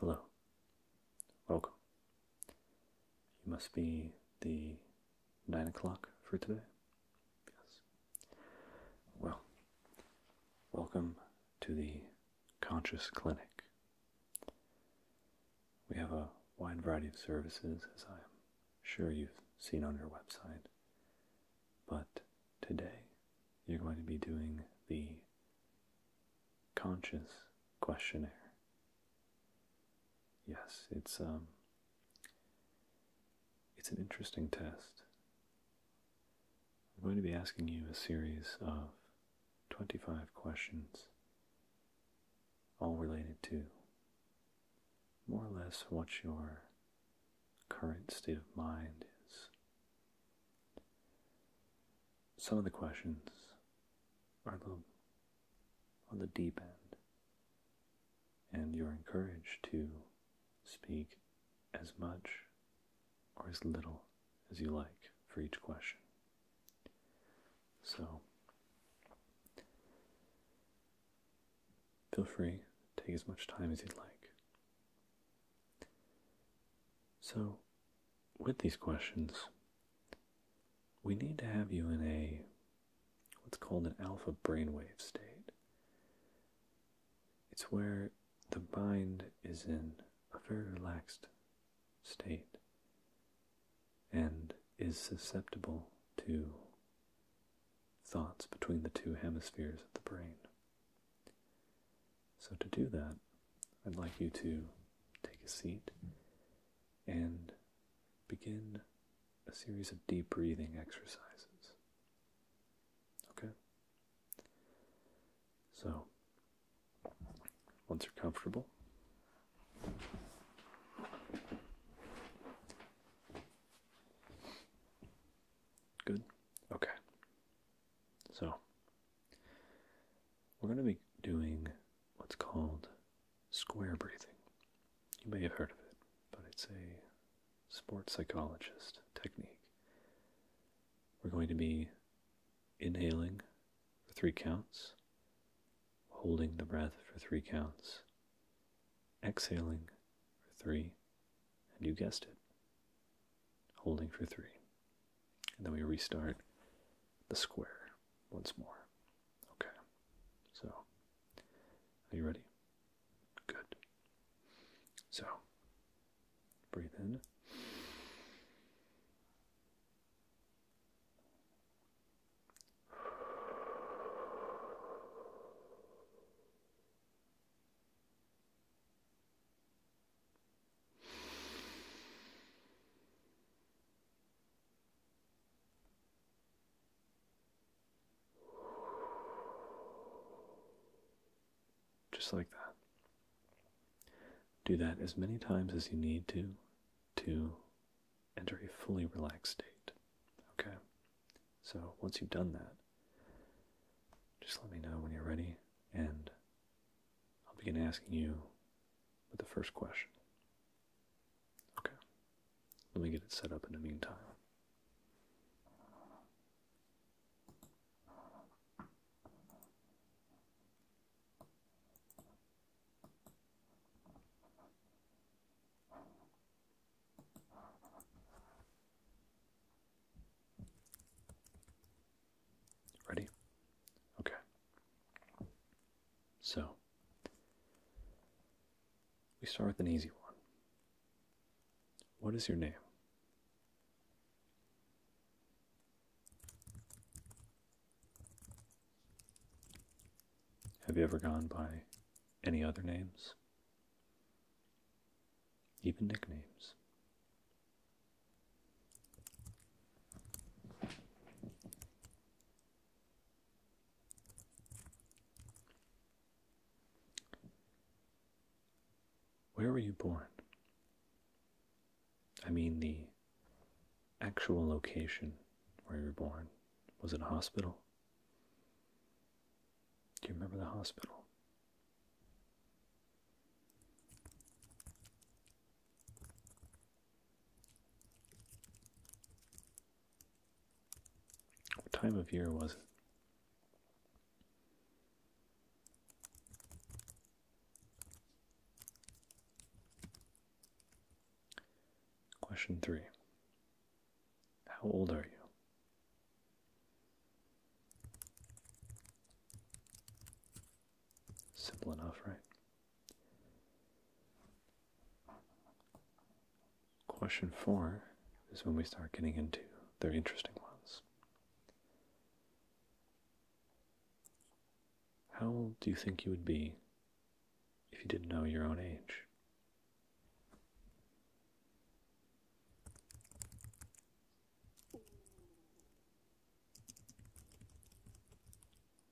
Hello. Welcome. You must be the nine o'clock for today? Yes. Well, welcome to the Conscious Clinic we have a wide variety of services, as I'm sure you've seen on our website. But today, you're going to be doing the conscious questionnaire. Yes, it's um, it's an interesting test. I'm going to be asking you a series of 25 questions all related to more or less what your current state of mind is. Some of the questions are on the deep end, and you're encouraged to speak as much or as little as you like for each question. So feel free, take as much time as you'd like. So, with these questions, we need to have you in a what's called an alpha brainwave state. It's where the mind is in a very relaxed state and is susceptible to thoughts between the two hemispheres of the brain. So, to do that, I'd like you to take a seat and begin a series of deep breathing exercises. Okay? So, once you're comfortable, good. Okay, so we're going to be doing what's called square breathing. You may have heard of it, but it's a sports psychologist technique. We're going to be inhaling for three counts, holding the breath for three counts, exhaling for three, and you guessed it, holding for three. And then we restart the square once more. Okay, so are you ready? Good. So breathe in just like that. Do that as many times as you need to to enter a fully relaxed state. Okay? So once you've done that, just let me know when you're ready, and I'll begin asking you with the first question. Okay. Let me get it set up in the meantime. Ready? Okay. So, we start with an easy one. What is your name? Have you ever gone by any other names? Even nicknames? Where were you born? I mean the actual location where you were born. Was it a hospital? Do you remember the hospital? What time of year was it? Question three How old are you? Simple enough, right? Question four is when we start getting into the interesting ones. How old do you think you would be if you didn't know your own age?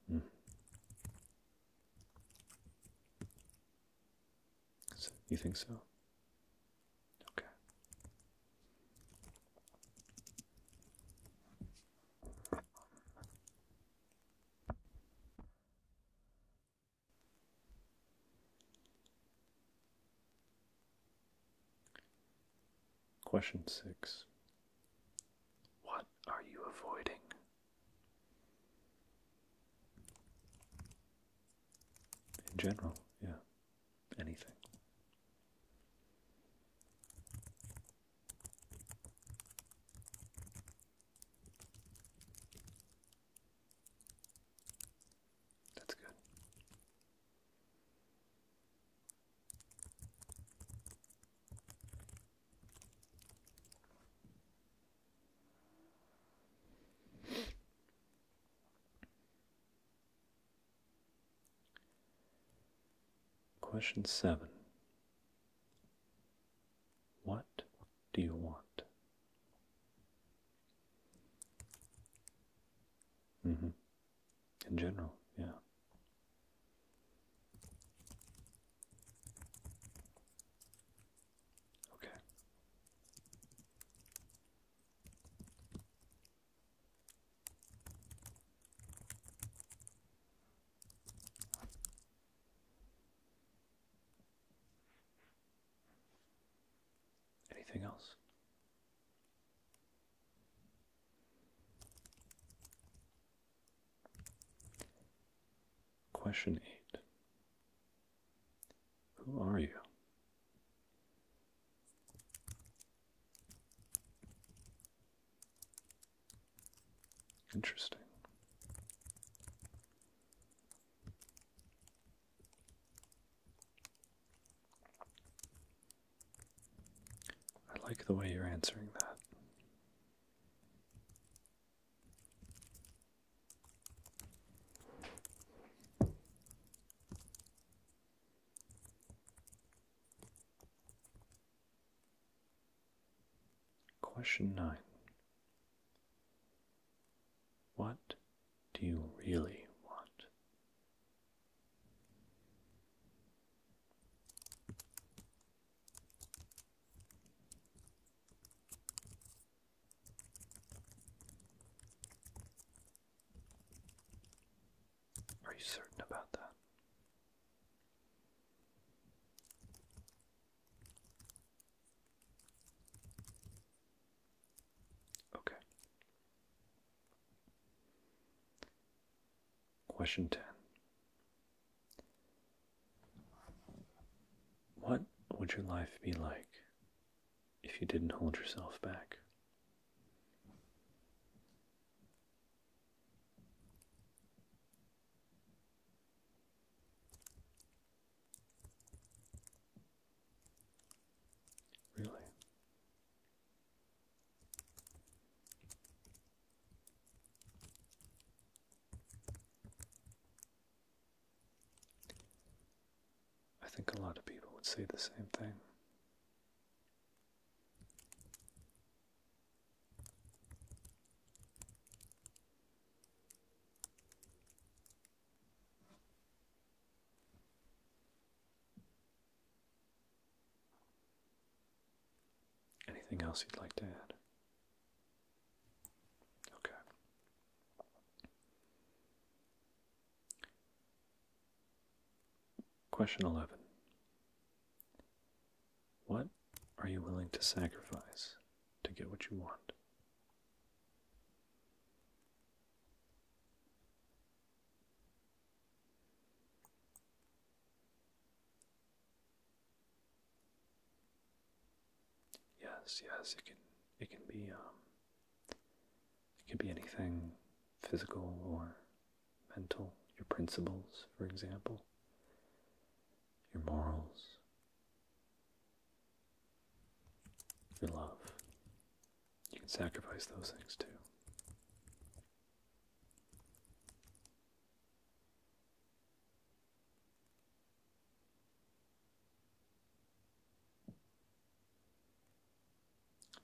Hmm. you think so? Okay. Question six What are you avoiding? In general, yeah, anything. That's good. Question seven what do you want? Mm-hmm. In general, yeah. Okay. Anything else? Question 8 Who are you? Interesting. I like the way you're answering that. Question 9 What do you really want? Are you certain about that? Okay. Question 10. What would your life be like if you didn't hold yourself back? Really? I think a lot of people would say the same thing. Anything else you'd like to add? Okay. Question 11 what are you willing to sacrifice to get what you want? Yes, yes, it can it can be um, it can be anything physical or mental, your principles, for example, your morals, your love. You can sacrifice those things too.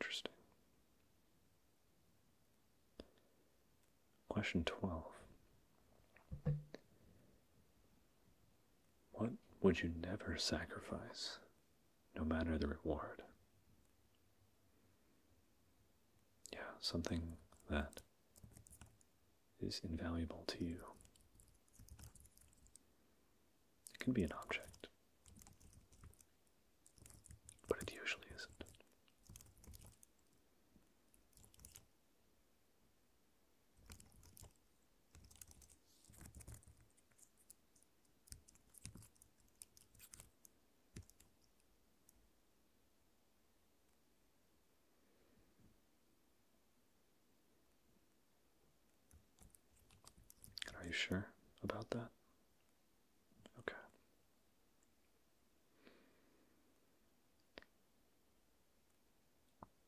Interesting. Question 12. What would you never sacrifice, no matter the reward? Yeah, something that is invaluable to you. It can be an object, but it usually isn't. Are you sure about that? Okay.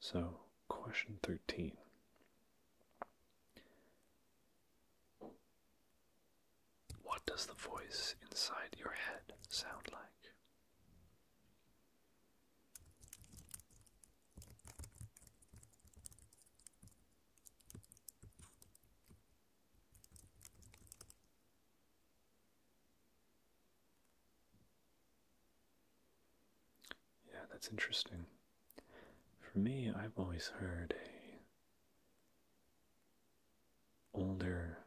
So, question 13. What does the voice inside your head sound like? Yeah, that's interesting. For me, I've always heard a older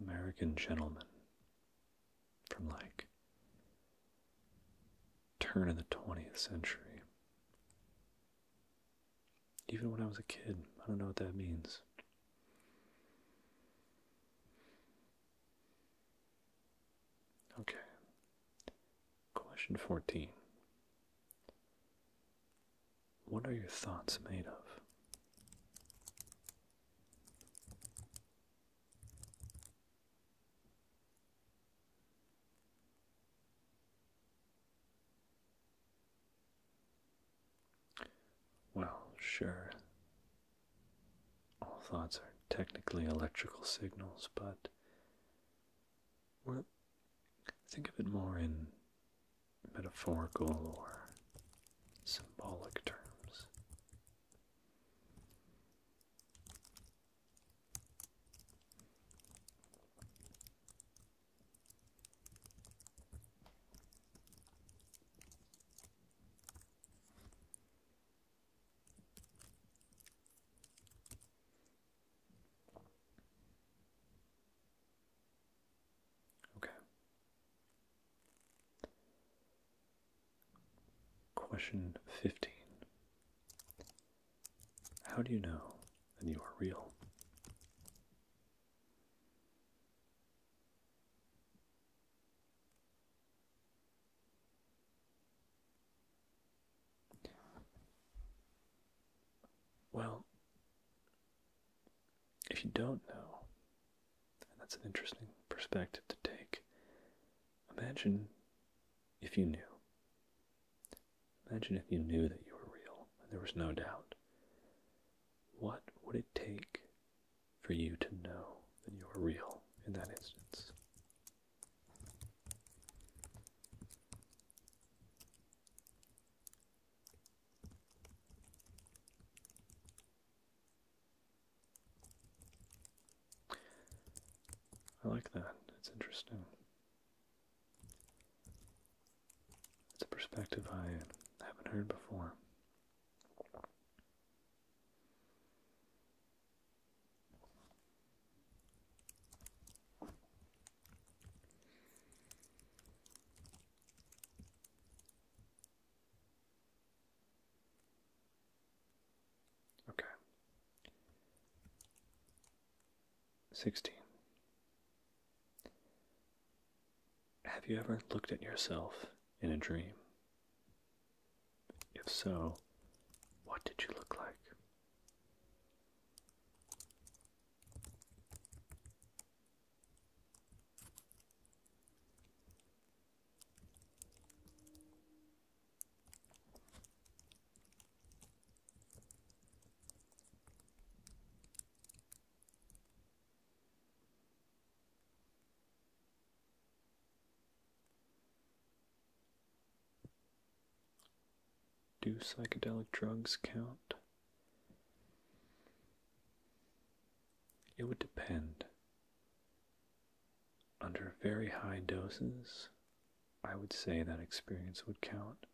American gentleman from like turn of the 20th century even when I was a kid, I don't know what that means. Okay. Question 14. What are your thoughts made of? Well, sure. All thoughts are technically electrical signals, but we think of it more in metaphorical or symbolic terms. Okay. Question 15. How do you know that you are real? Well, if you don't know, and that's an interesting perspective to take, imagine if you knew. Imagine if you knew that you were real and there was no doubt. What would it take for you to know that you are real in that instance? I like that. It's interesting. It's a perspective I haven't heard before. Okay. Sixteen. Have you ever looked at yourself in a dream? If so, what did you look like? Do psychedelic drugs count? It would depend. Under very high doses, I would say that experience would count.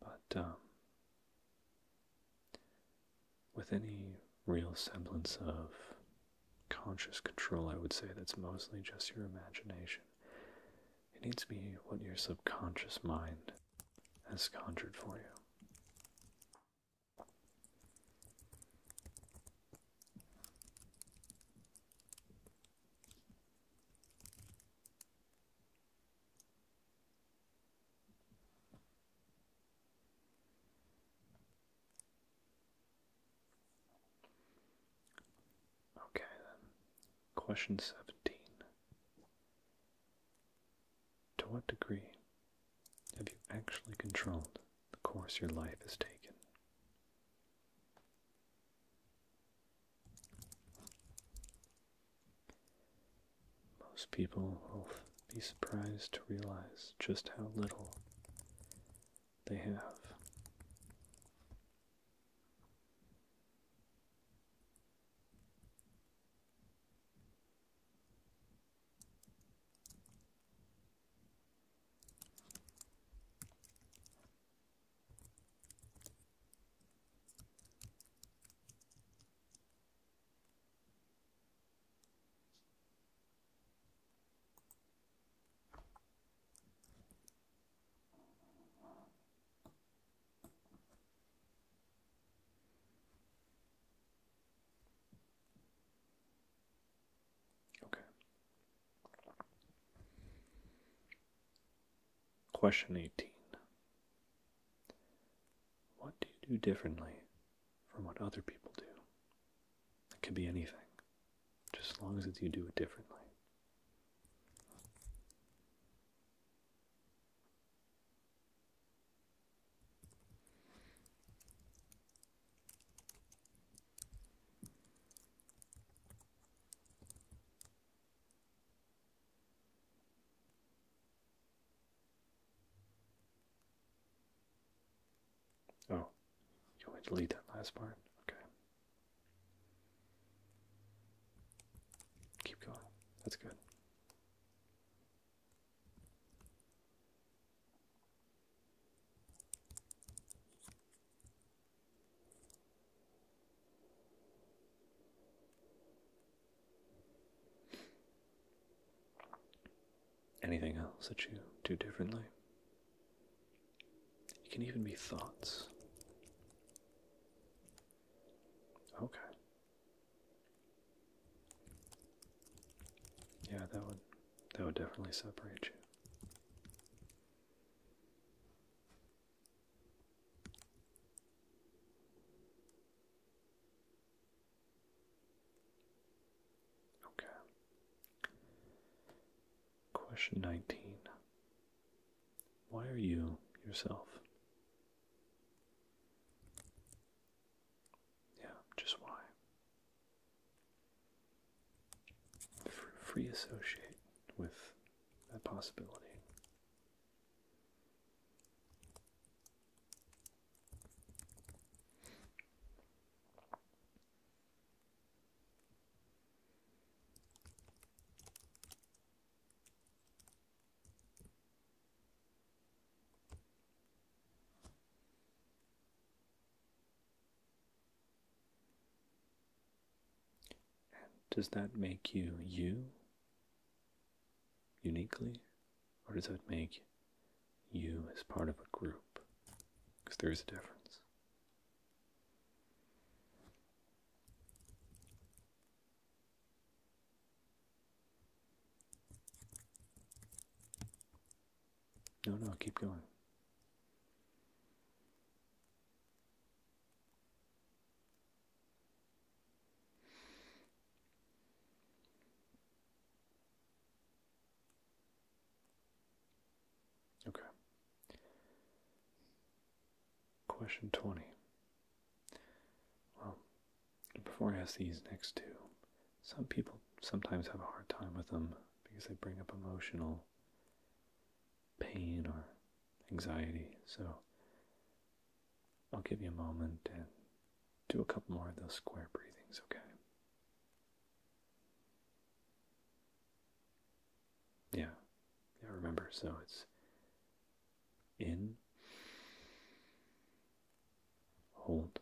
But um, with any real semblance of conscious control, I would say that's mostly just your imagination. It needs to be what your subconscious mind has conjured for you. Okay, then. Question 17. To what degree have you actually controlled the course your life has taken? Most people will be surprised to realize just how little they have. Okay. Question 18 what do you do differently from what other people do? It could be anything, just as long as you do it differently. Oh, you want to delete that last part? Okay. Keep going. That's good. Anything else that you do differently? It can even be thoughts. Okay. Yeah, that would that would definitely separate you. Okay. Question 19. Why are you yourself? Yeah, just why? Free associate with that possibility does that make you you? uniquely, or does that make you as part of a group? Because there is a difference. No, no, keep going. Okay. Question 20. Well, before I ask these next two, some people sometimes have a hard time with them because they bring up emotional pain or anxiety. So I'll give you a moment and do a couple more of those square breathings, okay? Yeah, yeah, remember, so it's in, hold,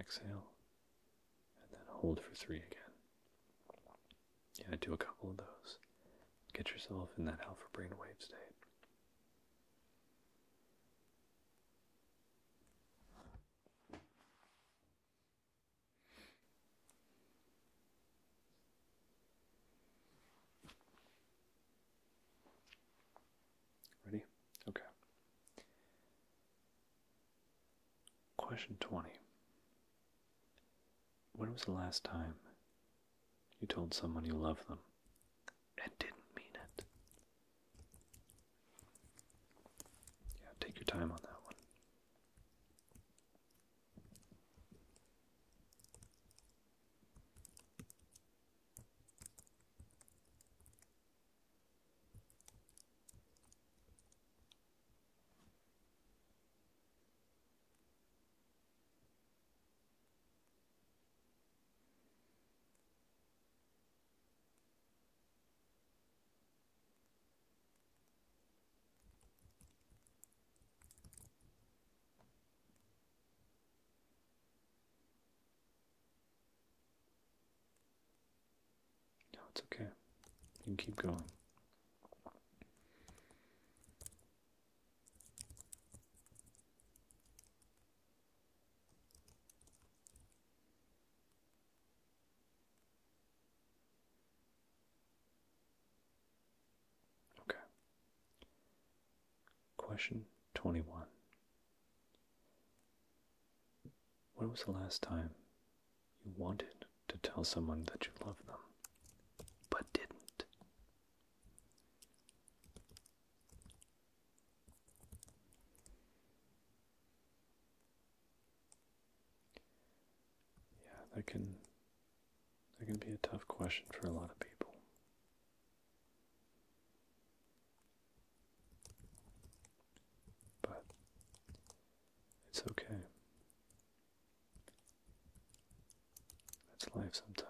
exhale, and then hold for three again. Yeah, do a couple of those. Get yourself in that alpha brainwave state. Ready? Okay. Question 20. When was the last time you told someone you loved them and didn't mean it? Yeah, take your time on that one. No, it's okay. You can keep going. Okay. Question 21. When was the last time you wanted to tell someone that you love them, but didn't. Yeah, that can that can be a tough question for a lot of people. But it's okay. That's life sometimes.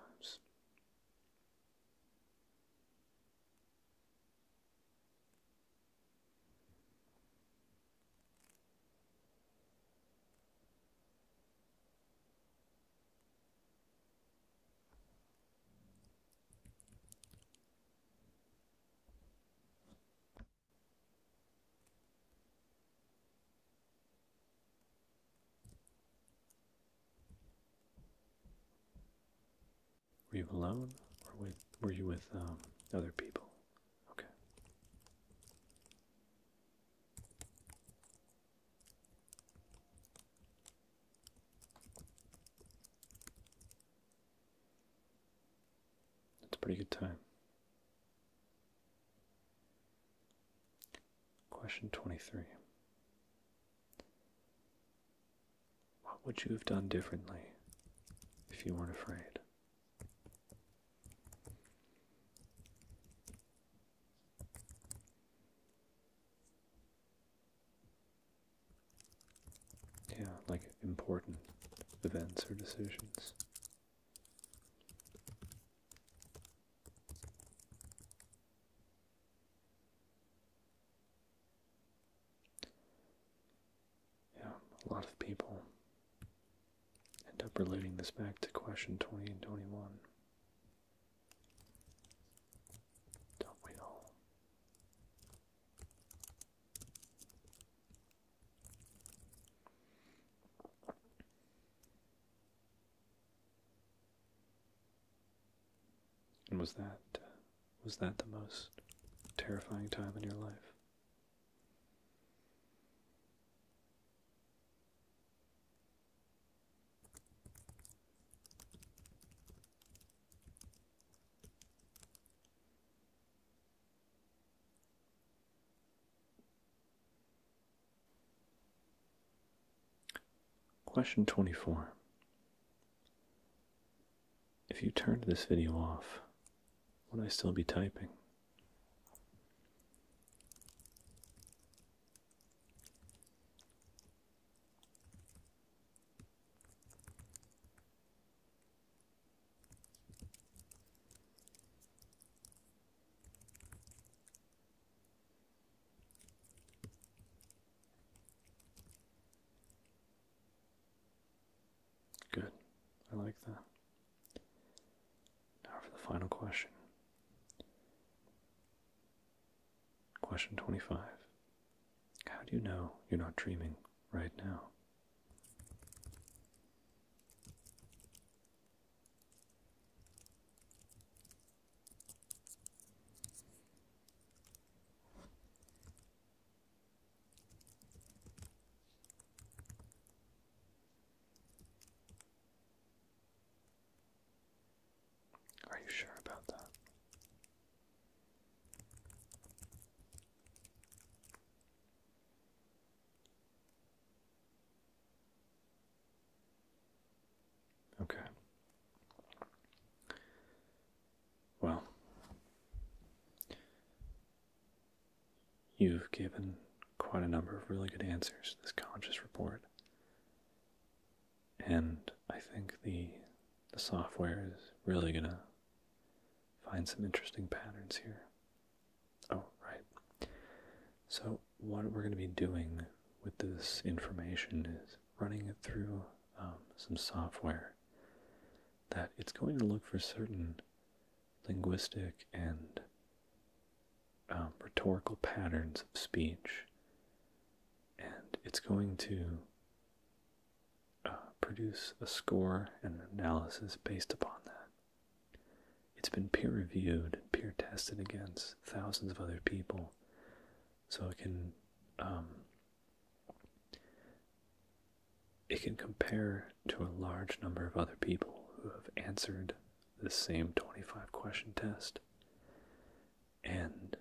Were you alone, or with, were you with um, other people? Okay. That's a pretty good time. Question 23. What would you have done differently if you weren't afraid? Yeah, like important events or decisions. Yeah, a lot of people end up relating this back to question 20 and 21. Don't we all? And was that was that the most terrifying time in your life? Question 24. If you turned this video off, would I still be typing? Good. I like that. Now for the final question. Question 25. How do you know you're not dreaming right now? Are you sure about that? Okay. Well, you've given quite a number of really good answers to this conscious report. And I think the the software is really gonna find some interesting patterns here. Oh, right. So, what we're going to be doing with this information is running it through um, some software that it's going to look for certain linguistic and um, rhetorical patterns of speech, and it's going to uh, produce a score and analysis based upon that. It's been peer reviewed, peer tested against thousands of other people, so it can um, it can compare to a large number of other people who have answered the same 25 question test, and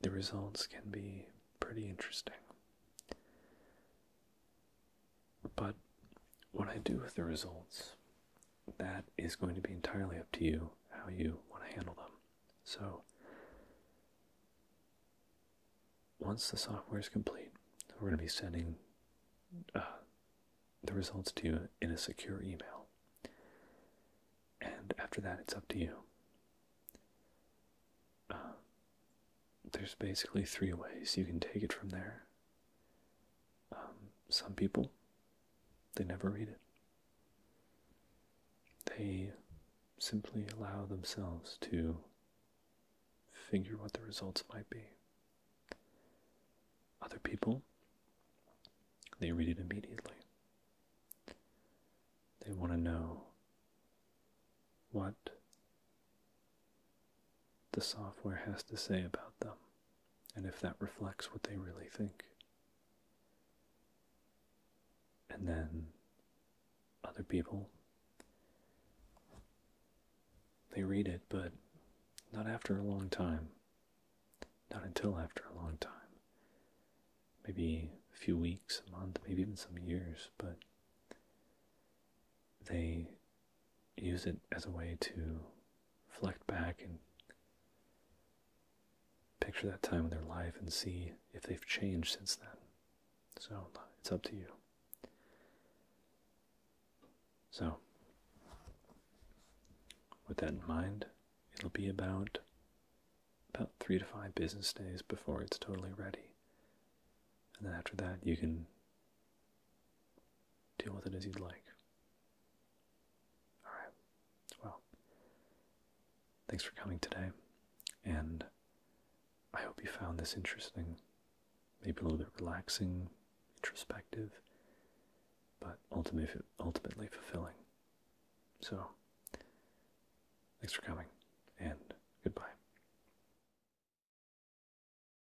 the results can be pretty interesting. But what I do with the results, that is going to be entirely up to you how you want to handle them. So, once the software is complete, we're going to be sending uh, the results to you in a secure email. And after that, it's up to you. Uh, there's basically three ways you can take it from there. Um, some people, they never read it. They simply allow themselves to figure what the results might be. Other people, they read it immediately. They want to know what the software has to say about them and if that reflects what they really think. And then other people, they read it, but not after a long time. Not until after a long time. Maybe a few weeks, a month, maybe even some years, but they use it as a way to reflect back and picture that time in their life and see if they've changed since then. So it's up to you. So, with that in mind, it'll be about about three to five business days before it's totally ready. And then after that, you can Deal with it as you'd like. All right. Well, thanks for coming today, and I hope you found this interesting, maybe a little bit relaxing, introspective, but ultimately, ultimately fulfilling. So, thanks for coming, and goodbye.